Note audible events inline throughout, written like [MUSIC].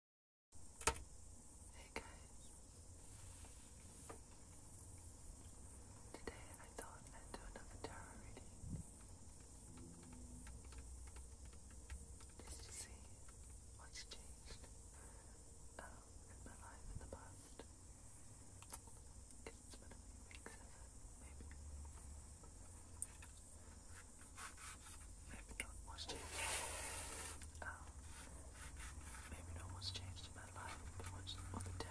Hey guys. Today I thought I'd do another tarot reading. Just to see what's changed um, in my life in the past. I guess it's been a few weeks of it, maybe. Maybe not changed. Oh. maybe not changed in my life, but what's the terror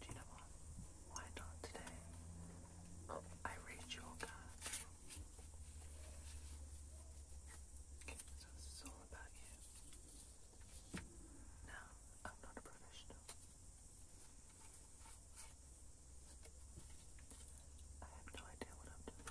Do you Why not today? Oh, I read your cards. Okay, so this is all about you. Now, I'm not a professional. I have no idea what I'm doing.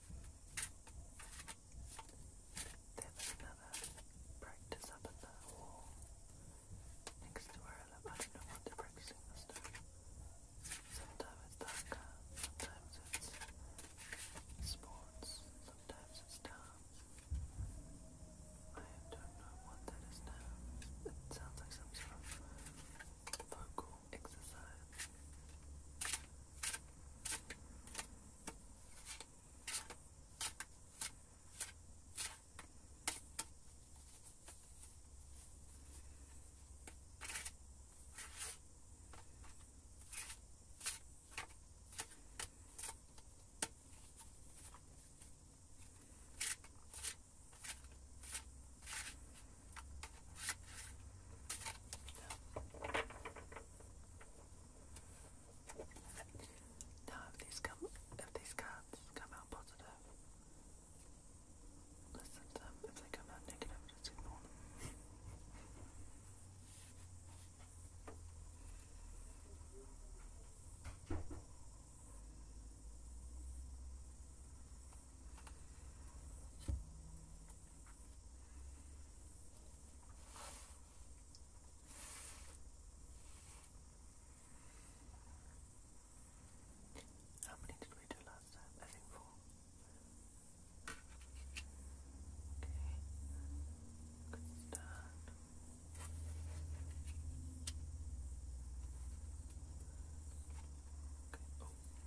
There was another practice up at the wall next to where I don't know what they're practicing Sometimes it's darker, sometimes it's sports, sometimes it's dance. I don't know what that is now. It sounds like some sort of vocal exercise. I now, if these cards come out positive, listen to them. If they come out negative, just ignore them. How many did we do last time? I think four. Okay. Good start. Okay.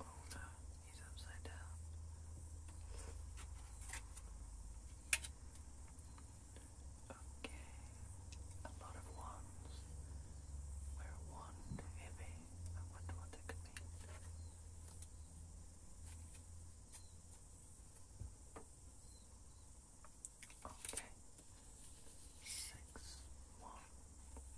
Oh, He's upside down. Okay. A lot of wands. Where wand heavy. I wonder what that could mean. Okay. Six, one,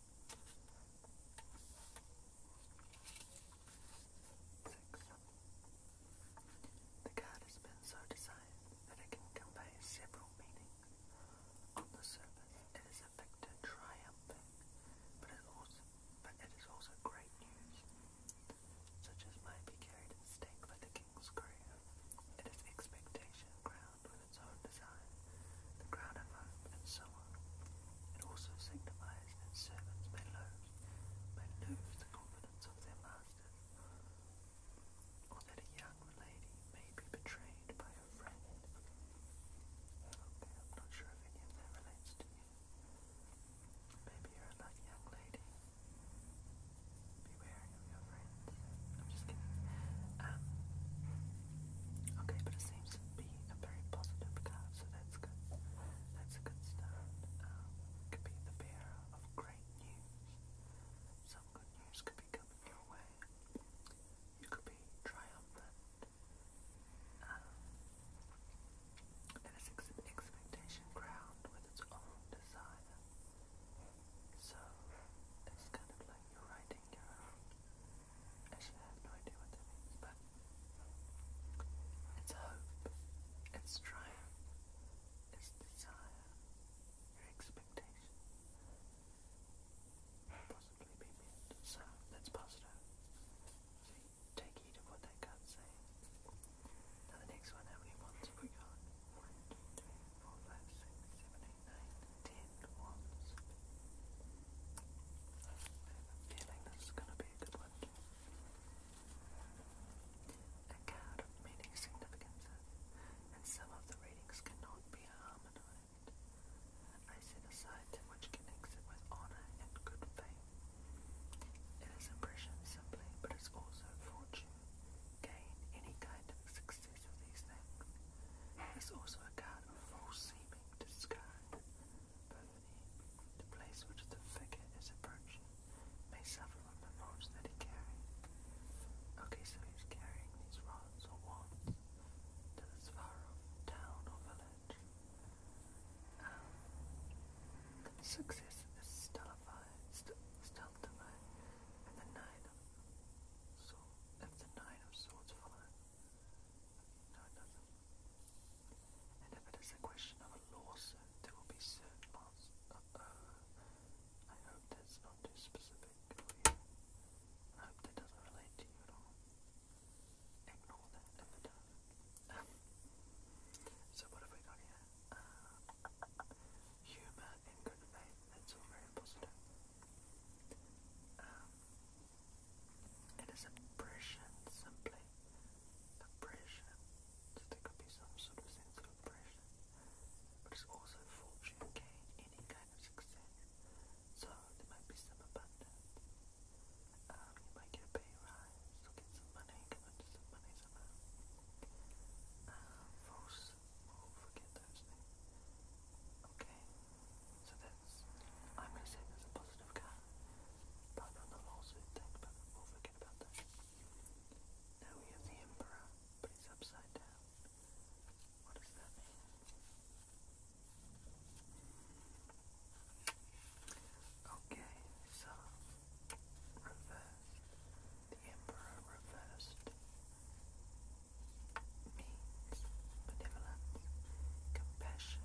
The card has been so designed that it can convey several meanings. On the surface, it is a victor triumphing, but it is also great news, such as might be carried in stake by the king's courier. It is expectation, with its own design, the crown of hope, and so It also signifies that servants may lose, may lose the confidence of their master, or that a young lady may be betrayed by her friend. Okay, I'm not sure if any of that relates to you. Maybe you're a lucky young lady. Beware of your friends. I'm just kidding. Um, okay, but it's seems be a very positive card, so that's good. That's good start. Um, could be the bearer of great news. Some good news could be coming your way. You could be triumphant. Um, and it's expectation ground with its own desire. So it's kind of like you're writing your Actually, I have no idea what that means, but it's hope, it's triumph, it's desire, your expectation possibly be met. So that's positive. take heed of what that card's saying. Now the next one, how we got? 1, 2, 3, 4, nine, ten wands. I have feeling this is going to be a good one. A card of many significances, and some of the readings cannot be harmonized. I set aside that which connects it with honor and good faith. It is impression simply, but it's also fortune. Gain any kind of success mixtures of these also a god of false seeming described by the place which the figure is approaching may suffer from the loads that he carries. Okay, so he's carrying these rods or wands to this far off town or village. Um, success is stullified, st stultified, and the nine of so if the nine of swords follows, no, it And if it is a question of a lawsuit, there will be certain laws. Uh-oh. I hope that's not too specific you. I hope that doesn't relate to you at all. Ignore that [LAUGHS] so what have we got here? Uh, humor and good faith. That's all very positive. Um, it is oppression, simply oppression. So there could be some sort of sense of oppression, but it's also fortune, gain, any kind of success. So there might be some abundance. Um, you might get a pay rise or get some money, come into some money somehow. Um, false, oh, Thursday. Okay, so that's, I'm going to say that's a positive card. Probably on the lawsuit thing, but we'll forget about that. Now we have the Emperor, but he's upside down. What does that mean? Okay, so reversed. The Emperor reversed means benevolence, compassion,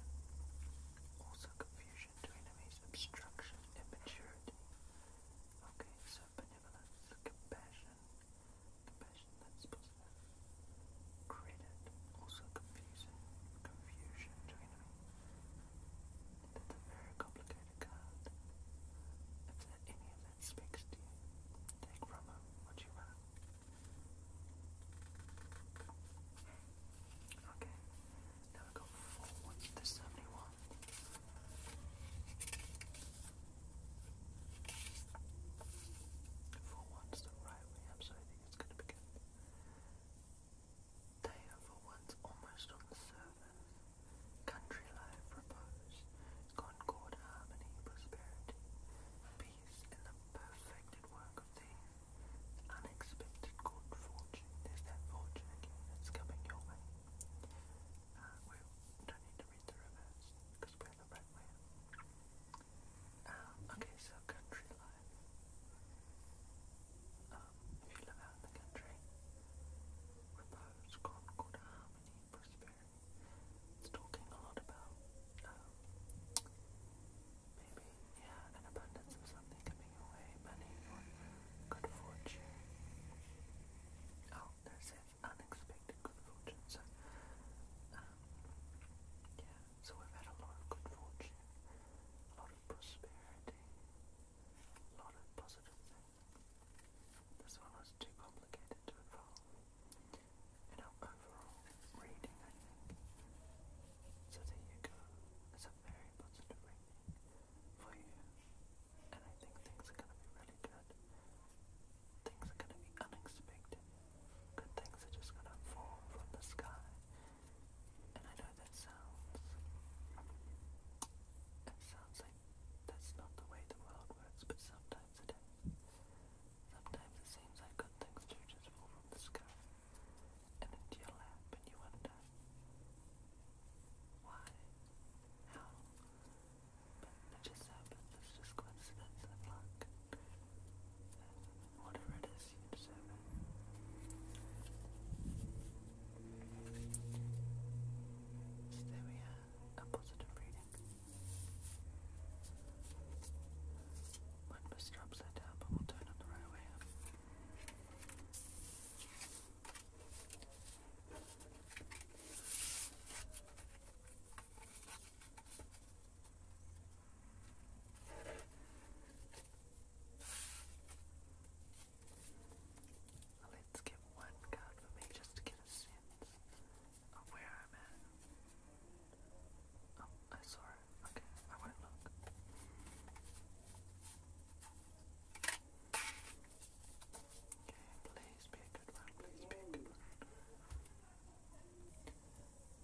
also confusion to enemies, obstruction, immaturity. Okay, so benevolence, compassion, compassion that's positive. Credit, also confusion, confusion to enemies. That's a very complicated card. If any of that speaks to you, take from it what you want. Okay, now we've got forward to 71. For the right way up, so I think it's going to be good. Day for once almost on the surface. Country life, repose, concord, harmony, prosperity, in the perfected work of thee. Unexpected good fortune. There's that fortune again that's coming your way. Uh, we don't need to read the reverse because we're the right way. Um, okay, so country life. Um, if you live out in the country, repose, concord, harmony, prosperity. It's talking a lot about um, maybe yeah, an abundance of something coming your way, money good fortune. Oh, there says unexpected good fortune. So um, yeah, so we've had a lot of good fortune, a lot of prosperity, a lot of positive This one was too complicated to involve in our overall reading, I think. So there you go. It's a very positive reading for you. And I think things are gonna be really good. Things are gonna be unexpected. Good things are just gonna fall from the sky. And I know that sounds it sounds like that's not the way the world works, but sometimes it is. Sometimes it seems like good things do just fall from the sky and into your lap, and you wonder why, how. But it just happens. It's just coincidence and luck. whatever it is, you deserve So there we are, a positive reading. When bus stops are down, but turn on the right way up. Let's get one card for me just to get a sense of oh, where I'm at. Oh, I saw it. Okay, I wouldn't look. Okay, please be a good one, please be a good one.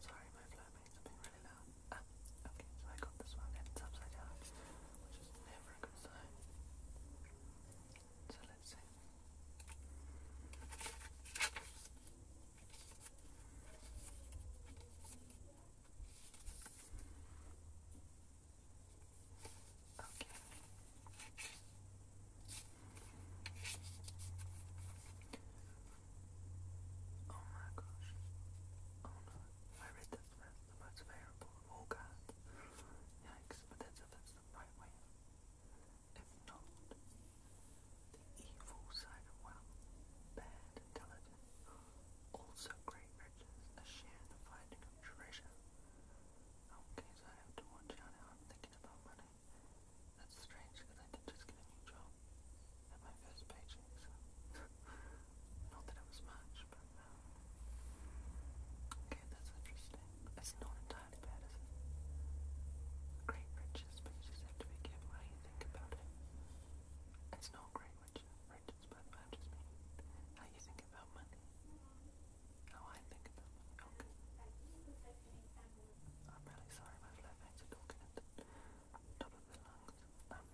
Sorry, my flatmates have been really loud. Ah, okay, so I got this one and upside down, which is never a good sign. So let Okay. Oh my gosh. Oh no. I read that the most favorable of all cards. Yikes, but that's if it's the right way if not the evil side of wealth, bad intelligence, also great riches, a share in the finding of treasure. Okay, so I have to watch out I'm thinking about money. That's strange because I just get a new job and my first paycheck, so not that it was much, but um, that's interesting. It's not entirely bad, is it? Great riches, but you just how you think about it. It's not great riches, riches but I just how you think about money. How I think about money. Okay. I'm really sorry, my flashbacks are talking at the top of the lungs. Um,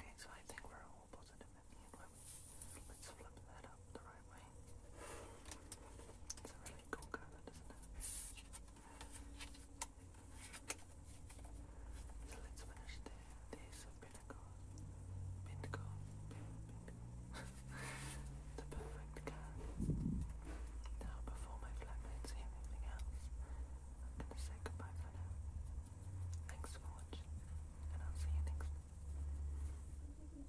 okay, so I think we're all positive at Let's flip that up the right right It's a really cool colour, doesn't it? So let's finish the of Pinnacle. Pinnacle. the perfect card. Now, before my flatmates hear anything else, I'm going to say goodbye for now. Thanks for watching, and I'll see you next time.